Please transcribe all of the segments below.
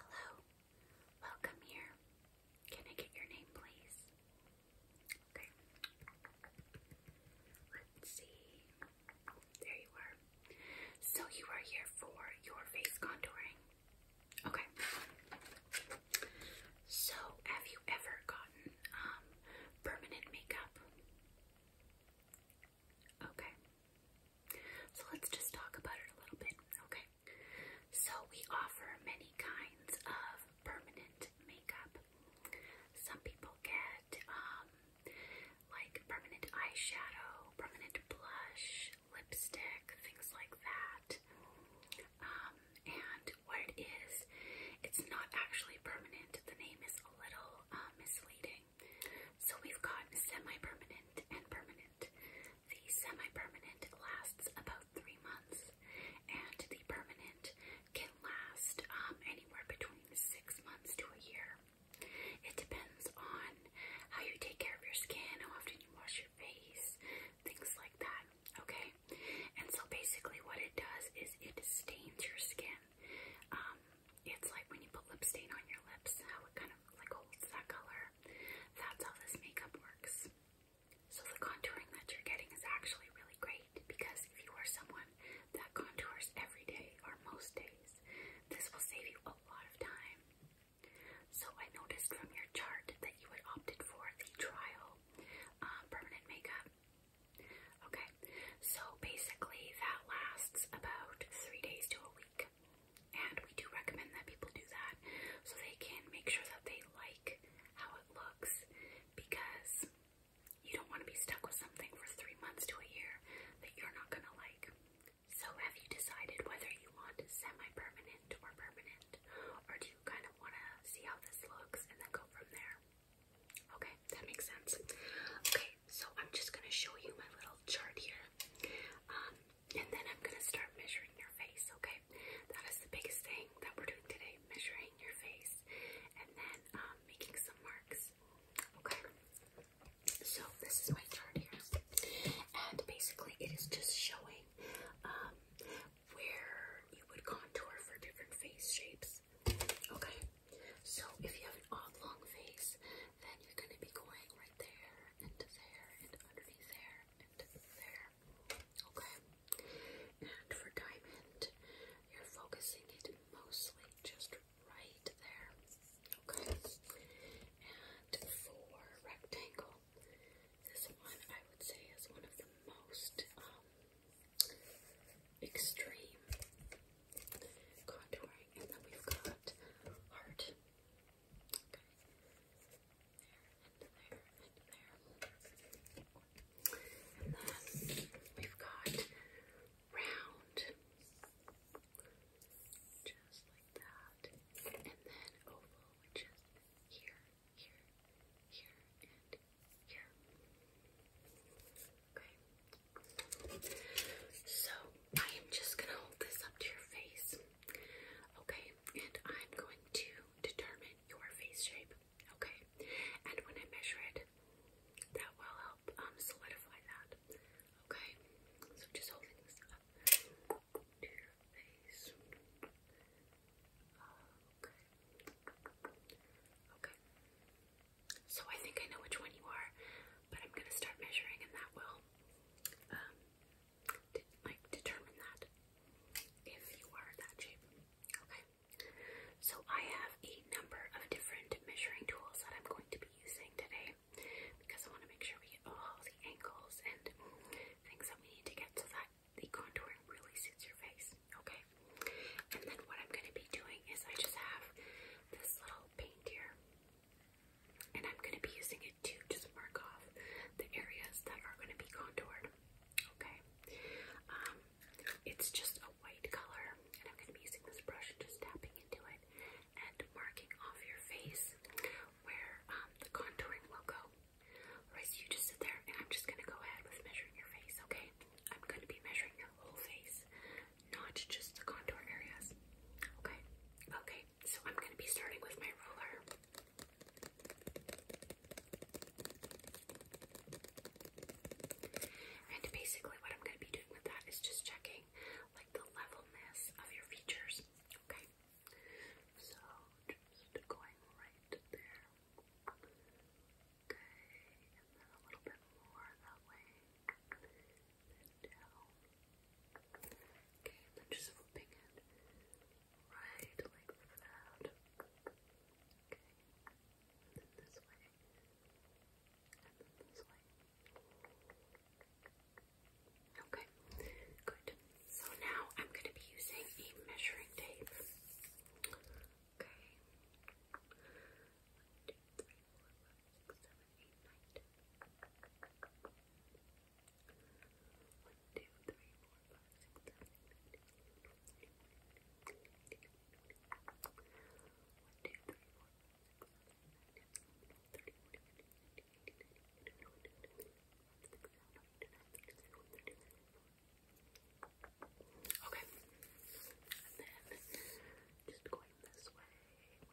Hello, welcome here. Can I get your name, please? Okay. Let's see. There you are. So you are here for your face contouring. Okay. So have you ever gotten um, permanent makeup? Okay. So let's just talk about it a little bit, okay? So we offer many kinds of permanent makeup. Some people get um, like permanent eyeshadow, permanent blush, lipstick, things like that. Um, and what it is, it's not actually permanent. The name is a little uh, misleading. So we've got semi-permanent and permanent. The semi-permanent lasts about three months, and the permanent can last um, anywhere between six months to a year. It depends on how you take care of your skin, how often you wash your face, things like that. Okay, and so basically, what it does is it stains your skin. Um, it's like when you put lip stain on your lips, like holds that color. That's how this makeup works. So the contouring that you're getting is actually really great because if you are someone that contours every day or most days, this will save you a lot of time. So I noticed from your chart that you had opted for the trial um, permanent makeup. Okay, so basically that lasts about three days to a week and we do recommend that people do that so they can make sure that they like how it looks because you don't want to be stuck with something for three months to a year that you're not going to like. So have you decided whether you want semi-permanent or permanent or do you kind of want to see how this looks and then go from there? Okay, that makes sense. Okay, so I'm just going to show you my little chart here. Um, and then I'm going to start measuring your face, okay? That is the biggest thing that we're doing today, measuring your face and then um, making some marks, okay? So this is my chart here. And basically it is just showing um, where you would contour for different face shapes, okay? So if you have an oblong face, then you're going to be going right there and there and underneath there and there. Okay. And for diamond, you're focusing it mostly just right there. Okay. And for rectangle, this one I would say is one of the most um, extreme contouring. And then we've got heart. Okay. There, we've got round. Just like that. And then oval, which is here, here, here, and here. Okay. So I am just gonna hold this up to your face. Okay, and I'm going to determine your face shape. Okay, and when I measure it, that will help um, solidify that. Okay, so just holding this up to your face. Okay. Okay. So I think I know which one you are, but I'm gonna start measuring, and that will um, like determine that if you are that shape. Okay. So I have a number of different measuring tools that I'm going to be using today because I want to make sure we get all the angles and things that we need to get so that the contouring really suits your face. Okay. And then what I'm going to be doing is I just have this little paint here. And I'm going to be using it to just mark off the areas that are going to be contoured. Okay. Um, it's just a white color, and I'm going to be using this brush and just tapping into it and marking off your face where um, the contouring will go. Alright, so you just sit there, and I'm just going to go ahead with measuring your face, okay? I'm going to be measuring your whole face, not just the contour areas. Okay? Okay, so I'm going to be starting with my ruler. And basically what I'm going to be doing with that is just checking like the levelness of your features. Okay. So just going right there. Okay, and then a little bit more that way. down. Okay, then just flipping it right like that. Okay, then this way, and then this way. Okay, good. So now I'm going to be using a measuring tape. Okay midnight. One, two, three, four, five, six, seven, eight, nine, ten. One, two, three, four, Okay, and then just going this way, went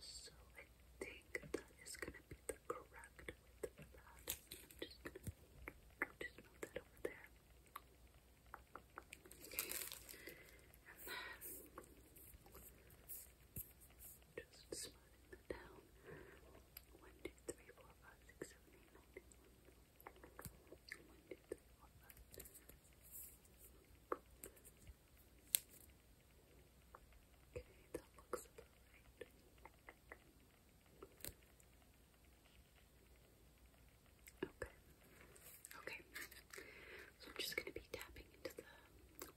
So I think that is gonna be the correct width for that. I'm just gonna just move that over there. And then just smoothing that down. One, two, three, four, five, six, Okay, that looks about Okay. Okay. So I'm just going to be tapping into the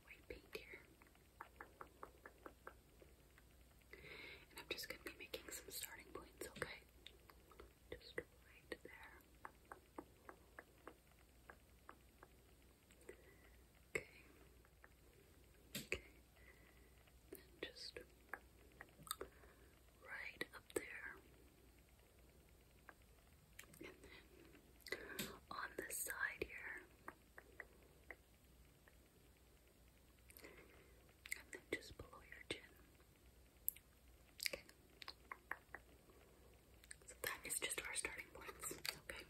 white paint here. And I'm just going to be making some starting points, okay? Just right there. Okay. Okay. just right up there. And then on this side here. And then just below your chin. So that is just our starting points, okay?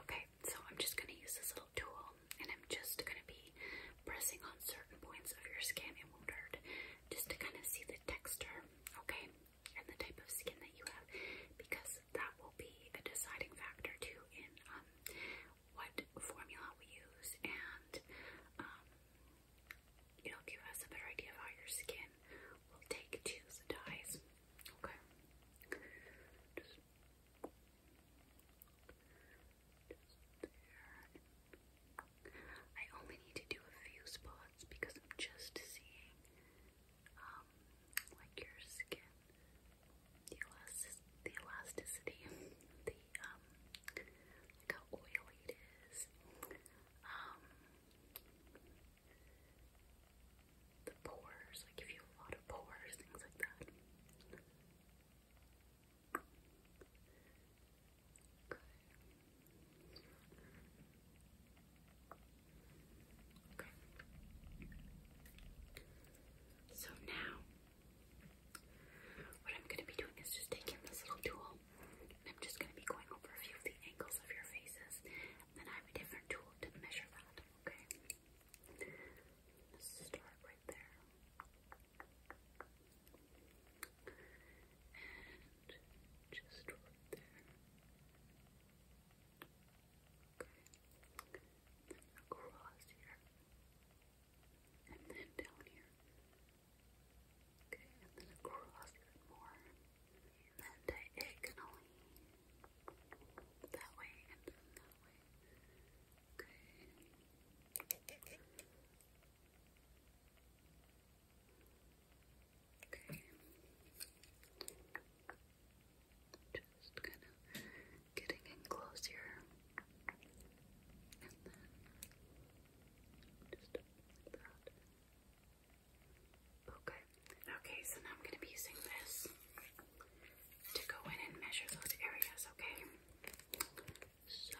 Okay, so I'm just going to use this little tool and I'm just going to be pressing on certain points of your skin and won't hurt just to kind of see the texture, okay? And the type of skin that you have because that will be a deciding factor too in um, what formula we use and um, it'll give us a better idea of how your skin will take to the dyes. Okay. I only need to do a few spots because I'm just seeing um like your skin the elastic the elasticity the um how oily it is um the pores, like if you have a lot of pores, things like that. Okay. Okay. So now, what I'm going to be doing is just taking this little tool I'm just going to be going over a few of the angles of your faces. And then I have a different tool to measure that, okay? Let's start right there. And just right there. Okay. across here. And then down here. Okay, and then across more then diagonally. That way and that way. Okay. Okay. Just kind of getting in close And then just like that. Okay. Oh, okay, so now I'm going to be using this to go in and measure those areas, okay? So,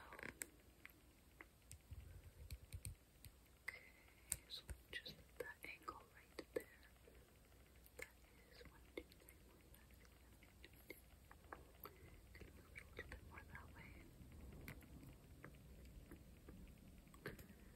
okay, so just that angle right there. That is one, two, three, four, five, six, seven, eight, nine, ten. Can move a little bit more that way.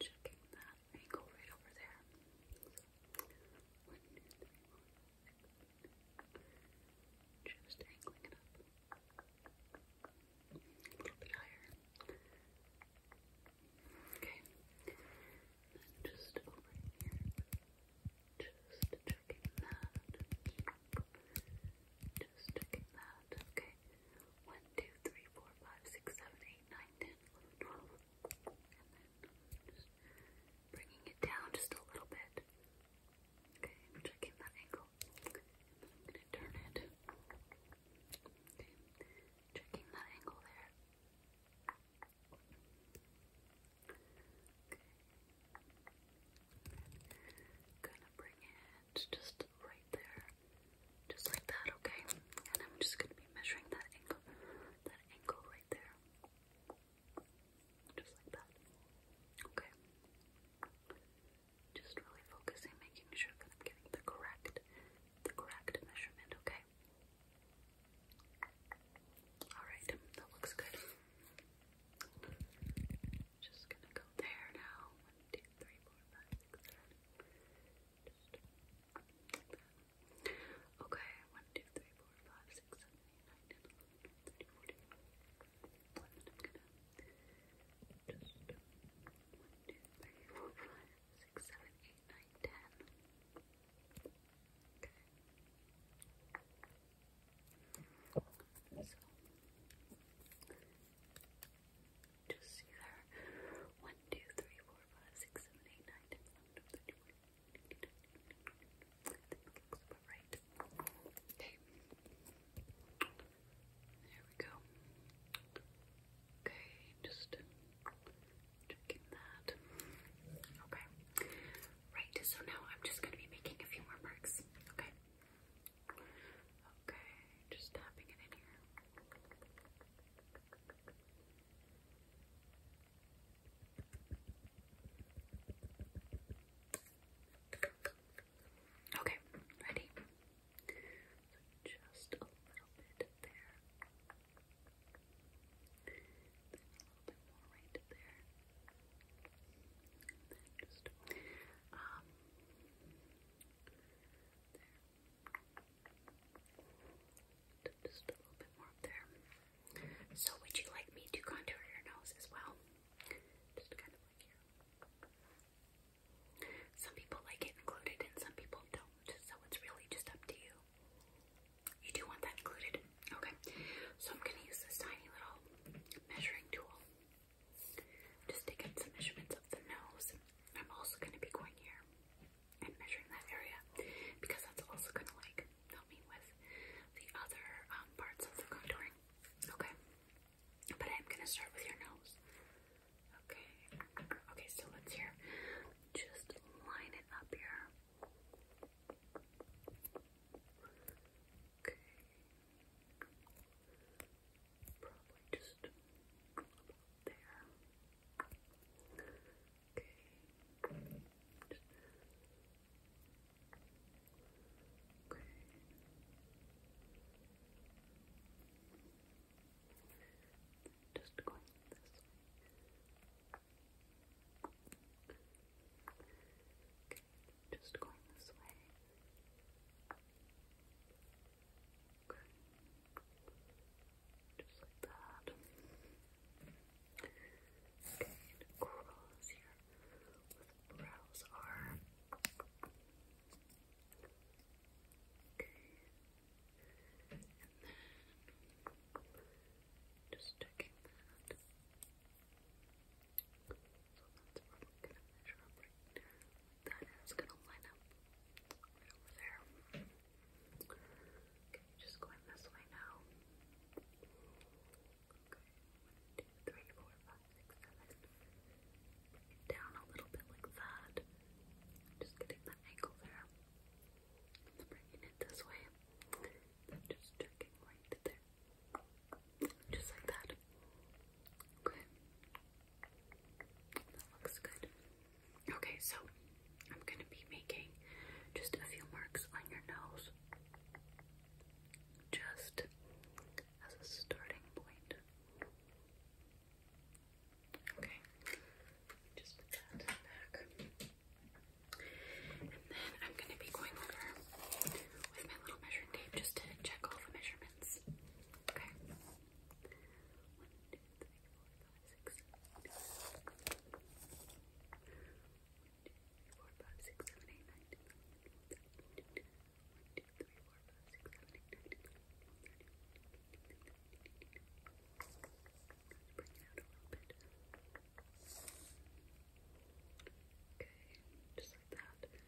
checking that angle right over there. just angling it up a little bit higher. Okay, just over here, just checking that just checking that. Okay. 1, And then just bringing it down just a little bit. Okay, checking that angle. I'm going to turn it. Okay, checking that angle there. Okay. Gonna bring it and just right there, just like that, okay? And I'm just gonna be measuring that angle, that angle right there, just like that, okay? Just really focusing, making sure that I'm getting the correct, the correct measurement, okay? Alright, that looks good just gonna go there now. okay, one, two, three, four, five, six, seven, eight, nine, ten, eleven, thirty, forty. Eleven. I'm gonna just see there. 1, 2, 3, 4, looks about right. Okay. There we go. Okay, just checking that. Okay. Right, so now I'm just going to be making a few more marks. Okay. Okay, just tapping it in here. Okay, ready? just a little bit there. a little bit more right there. just um so would you like me to contour your nose as well? Some people like it included and some people don't. So it's really just up to you. You do want that included? Okay. So I'm going to use this tiny little measuring tool. Just taking some measurements of the nose. I'm also going to be going here and measuring that area because that's also going to like help me with the other um, parts of the contouring. Okay, but I'm going to start with your nose. Okay, okay, so let's here just line it up here. Okay. Probably just there. Okay. Just going this way. Just going this way. Okay. Just like that. Okay, and cross here the brows are. Okay. And then just checking that. So that's where gonna measure up right now. Then it's gonna line up over there. Okay, just going this way now. one, two, three, four, five, six, seven. down a little bit like that. Just getting that angle there. bringing it this way. Then just checking right there. Just like that. Okay. Okay, so I'm going to be making just a few marks on your nose. Just as a starting point. Okay, just put that back. And then I'm going to be going over with my little measuring tape just to check all the measurements. Okay. One, two, three, four, five, six, seven, eight, nine. One, two, three, four, five, six, seven, eight, nine. One, two, three, four, five, six, seven, eight, nine. Let's bring it out a little bit. Okay, just like that.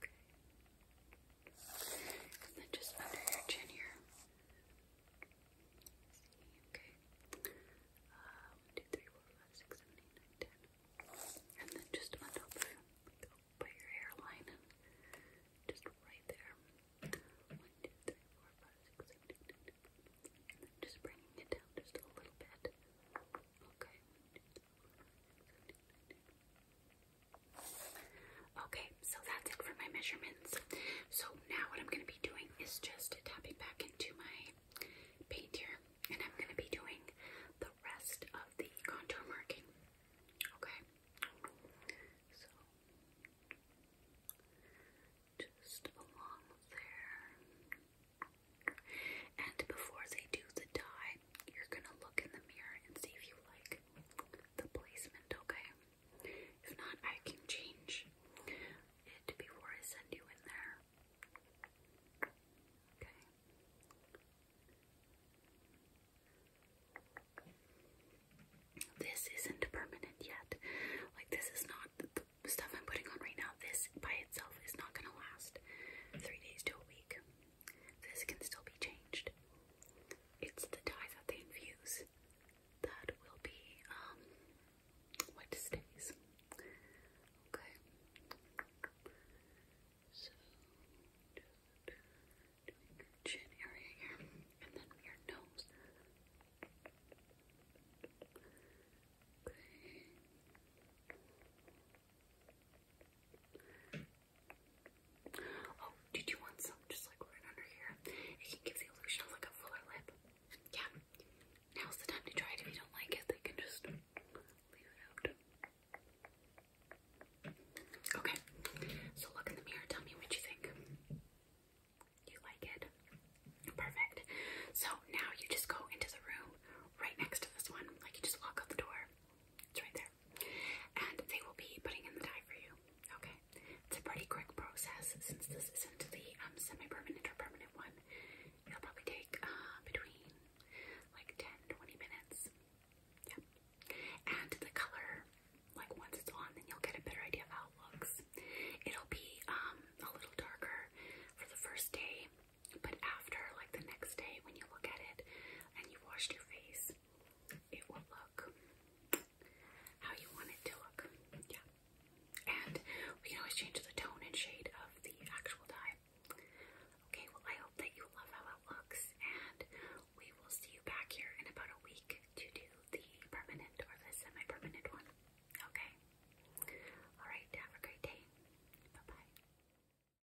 Okay. And then just under your chin here. Okay. one, um, two, three, four, five, six, seven, eight, nine, ten. And then just on top of your hairline. Just right there. One, two, three, four, five, six, seven, eight, nine, ten. And then just bringing it down just a little bit. Okay, Okay, so that's it for my measurements. So now what I'm going to be doing is just tapping back into my paint here, and I'm going to be doing the rest of the contour marking. Okay, so just along there. And before they do the dye, you're gonna look in the mirror and see if you like the placement, okay? If not, I can change it before I send you in there. Okay. This isn't permanent yet. Like, this is not the stuff I'm putting on right now. This by itself is not gonna last three days to a week. This can still be changed. It's the dye that they infuse that will be um, what stays. Okay. So chin area here, and then your nose. Okay. Oh, did you want some just like right under here? It can give the illusion of like a fuller lip. Yeah. Now's the time to try it. If you don't like it, they can just leave it out. Okay. So look in the mirror. Tell me what you think. You like it? Perfect. So now you just go into the room right next to this one. Like you just walk out the door. It's right there and they will be putting in the dye for you. Okay, it's a pretty quick process since this isn't the um, semi-permanent or permanent one. It'll probably take uh, between like 10 minutes. Yeah, and the color, like once it's on, then you'll get a better idea of how it looks. It'll be um, a little darker for the first day. But after, like the next day, when you look at it and you've washed your face, it will look how you want it to look. Yeah. And we can always change the tone and shade of the actual dye. Okay, well, I hope that you love how it looks, and we will see you back here in about a week to do the permanent or the semi permanent one. Okay? Alright, have a great day. Bye bye.